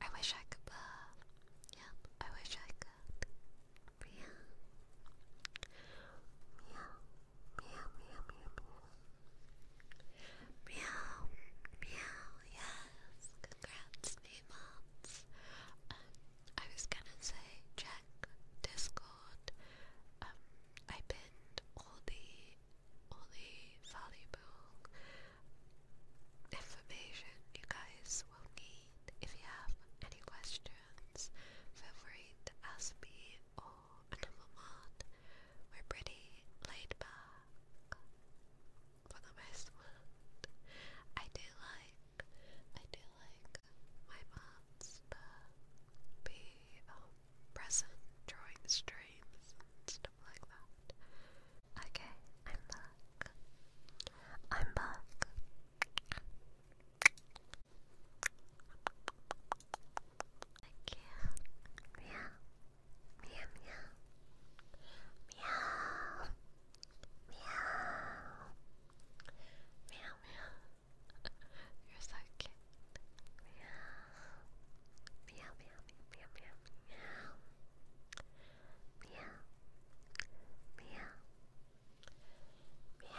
I wish I could. Uh, yep, I wish I could. Meow. Meow, meow, meow, meow. Meow, meow, yes, congrats, Neemons. Um, I was gonna say check Discord. Um, I pinned all the all the valuable information you guys will need. If you have any questions, feel free to ask me or another one. We're pretty laid back for the most part. I do like, I do like my mods to be um, present during streams and stuff like that. Okay, I'm back. I'm back. I am back i can Yeah. Meow meow. Meow. Meow. Meow meow. You're so cute. Meow. Meow meow meow meow meow. Meow. Meow. Meow. Meow.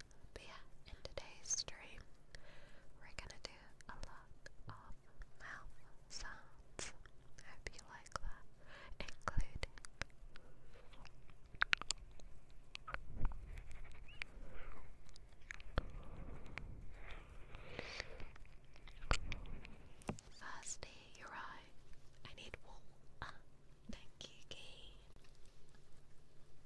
yeah, in today's stream, we're gonna do a lot of mouth sounds. I hope you like that, including. Firstly, you're I need wool. thank you, Key.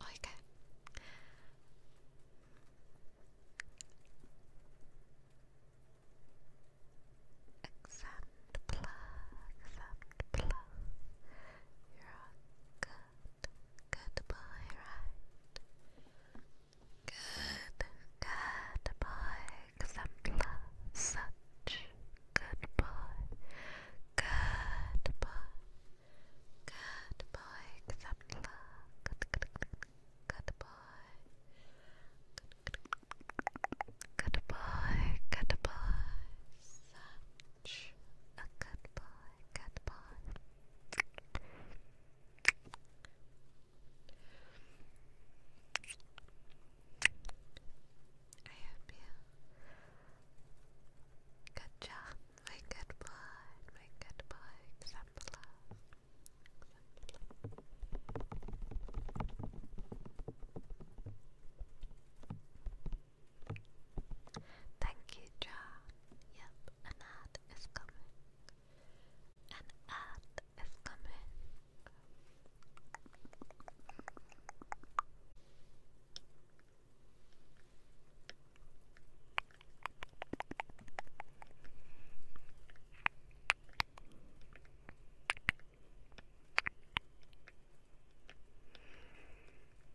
Oiga. Exempt blah, exempt blah. You're good. Good boy, right? Good, good exemplar, such good boy, good exemplar, good, good, good, good such a good boy, good boy. I hope you. Good job, my good boy, my good boy, exemplar. exemplar. Thank you, John. Yep, an ad is coming. An ad is coming. Hello,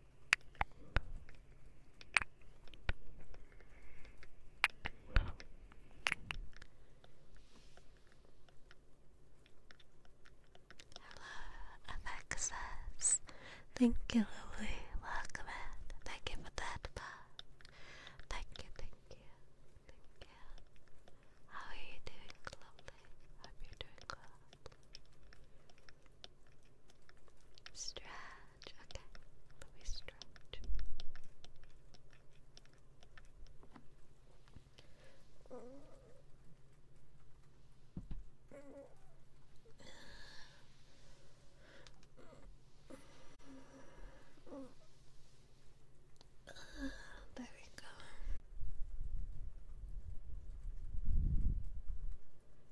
FXS. Thank you, Lily. Welcome Thank you for that Thank you, thank you, thank you. How are you doing, lovely? Hope you doing well. Stretch, okay. But we stretch. There we go.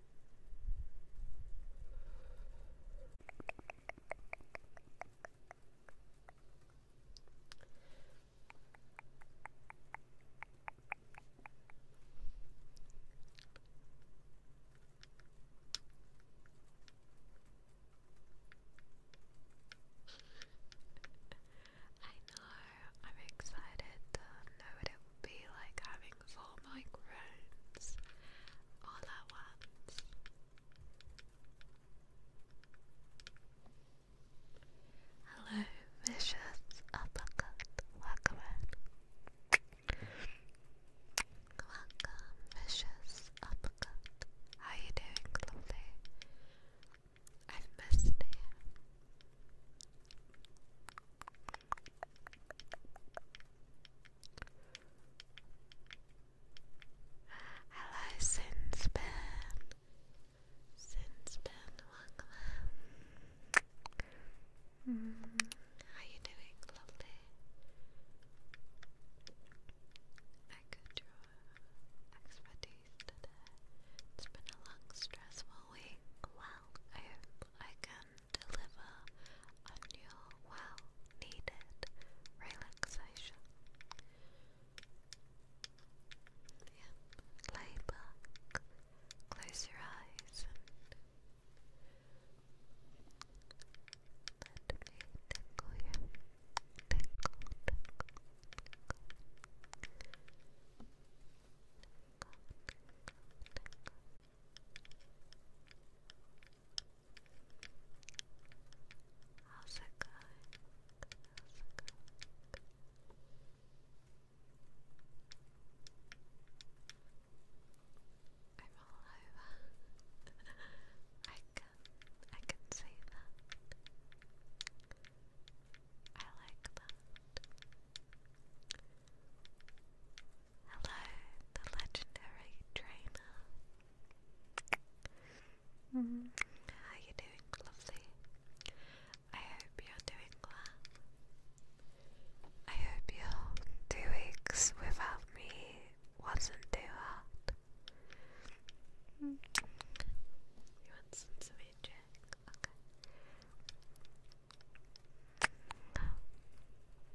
I know, I'm excited to know what it will be like having four microphones all at once. Hello, vicious uppercut. Welcome Welcome, vicious uppercut. How you doing, lovely? I've missed you. Hello, Sinspan. Sinspan, welcome. Mm, how you doing, lovely? I could draw expertise It's been a long, stressful week. Well, I hope I can deliver on your well needed relaxation. Yeah. Lay back, close your eyes, and let me tickle you. Tickle, tickle, tickle. Tickle, tickle, tickle. How's it going? I'm all over. I can I can see that. I like that. Hello, the legendary trainer. How you doing, lovely? I hope you're doing well. I hope your two weeks without me wasn't too hard. You want some sweet Okay.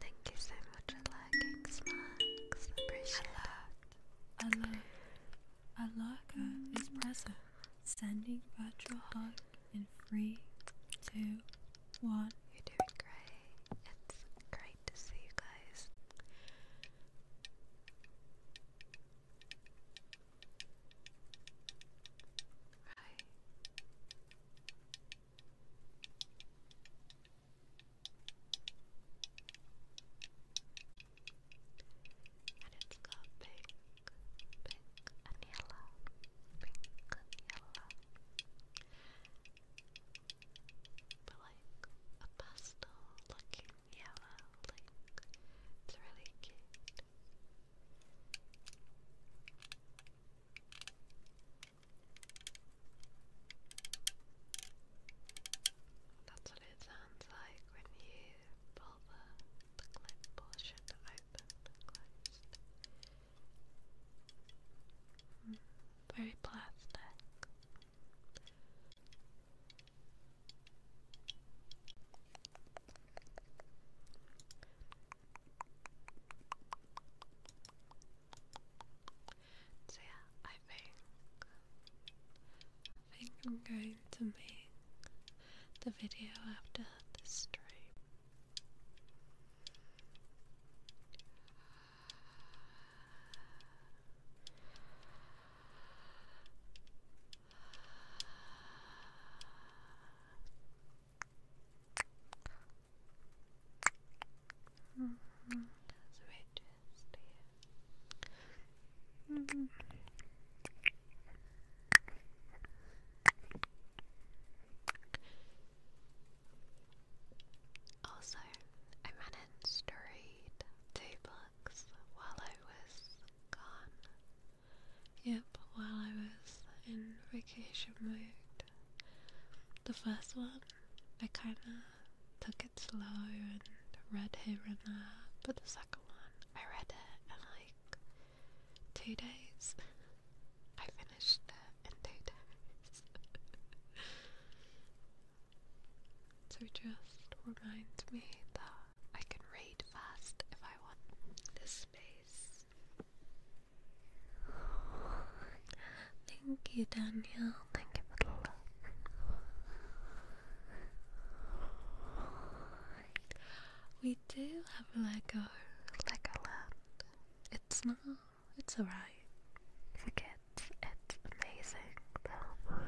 Thank you so much for liking smacks. Appreciate uh, it. Alaka. Sending virtual hug in three, two, one. You're doing great. It's great to see you guys. And it's pink, pink and yellow, pink and yellow. But like a pastel looking yellow, like it's really cute. That's what it sounds like when you pull the, the clip portion open and closed. very plastic. So yeah, I think think I'm going to make the video after the stream. That's right, just Also, I managed to read two books while I was gone. Yep, while I was in vacation mode. The first one, I kinda took it slow and read here and there, but the second one, I read it in like two days. I finished it in two days. so just reminds me that I can read fast if I want. This space Thank you, Danielle. Thank you for the love. We do have Lego, Lego Land. It's not, it's alright. Forget, it's amazing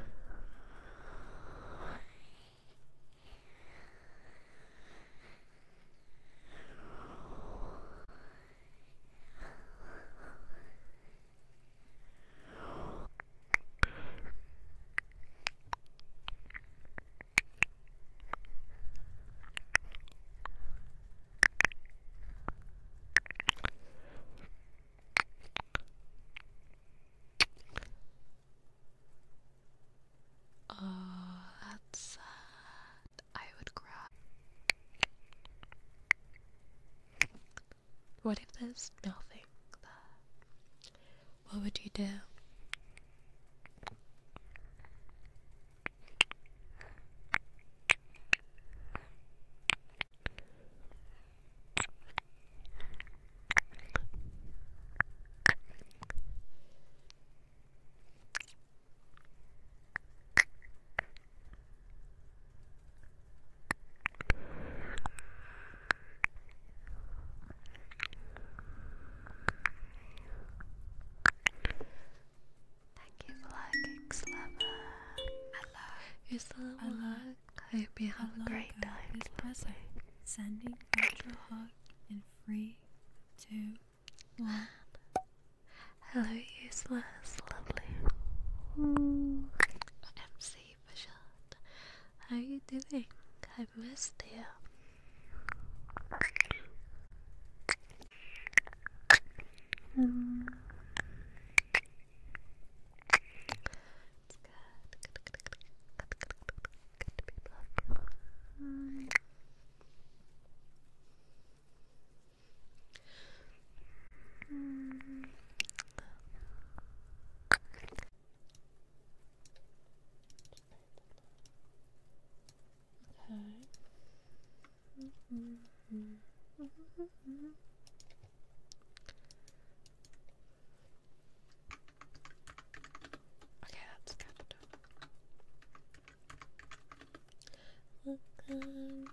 Oh, that's I would cry. What if there's nothing there? What would you do? Thank you, Black Xlover. Hello. Here's the luck. I hope you have a great God. Sending ultra hug and free to Man. Hello, useless, lovely. MC for How are you doing? I missed you. It's good. Okay. Okay, that's good. Welcome.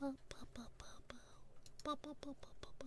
Bow, bow, bow, bow, bow, bow, bow, bow, bow, bow.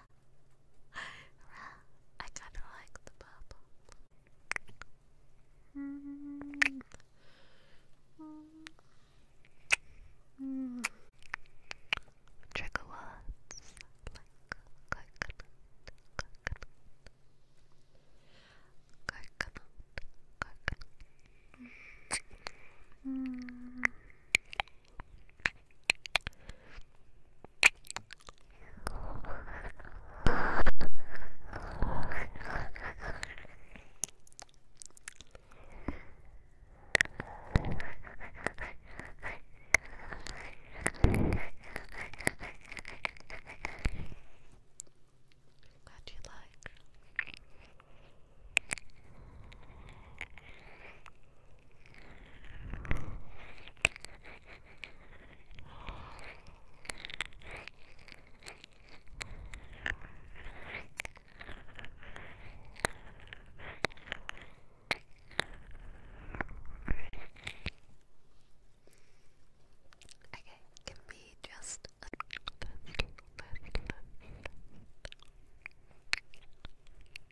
I kinda like the purple. Mm. Mm. Trigger words like coconut, coconut, coconut, coconut. Mm. Glad you like. Okay, can be just a little bit, little bit, little bit.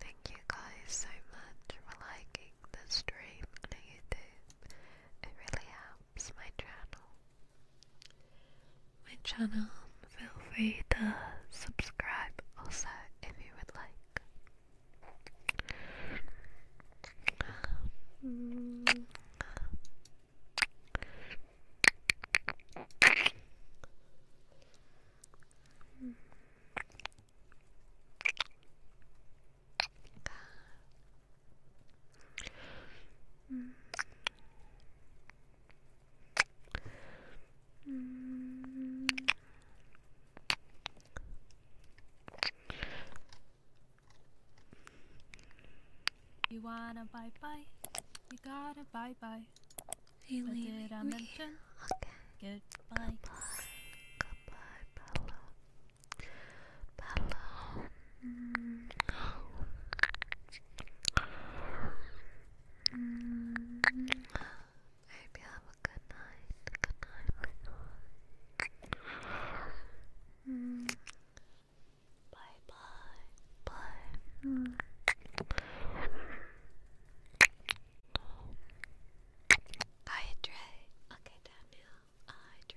Thank you guys so much for liking the stream on YouTube. It really helps my channel. My channel, feel free to subscribe also if you would like. You wanna bye bye? You gotta bye bye. They did I mention? Okay. Goodbye. Goodbye, Bello. Bello. I hope you have a good night. Good night. Mm. Bye bye. Bye. Hydrate. Okay, Daniel. Hydrate.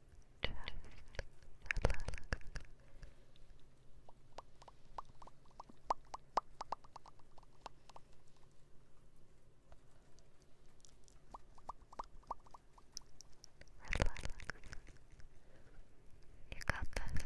Just relax. Relax. You got this.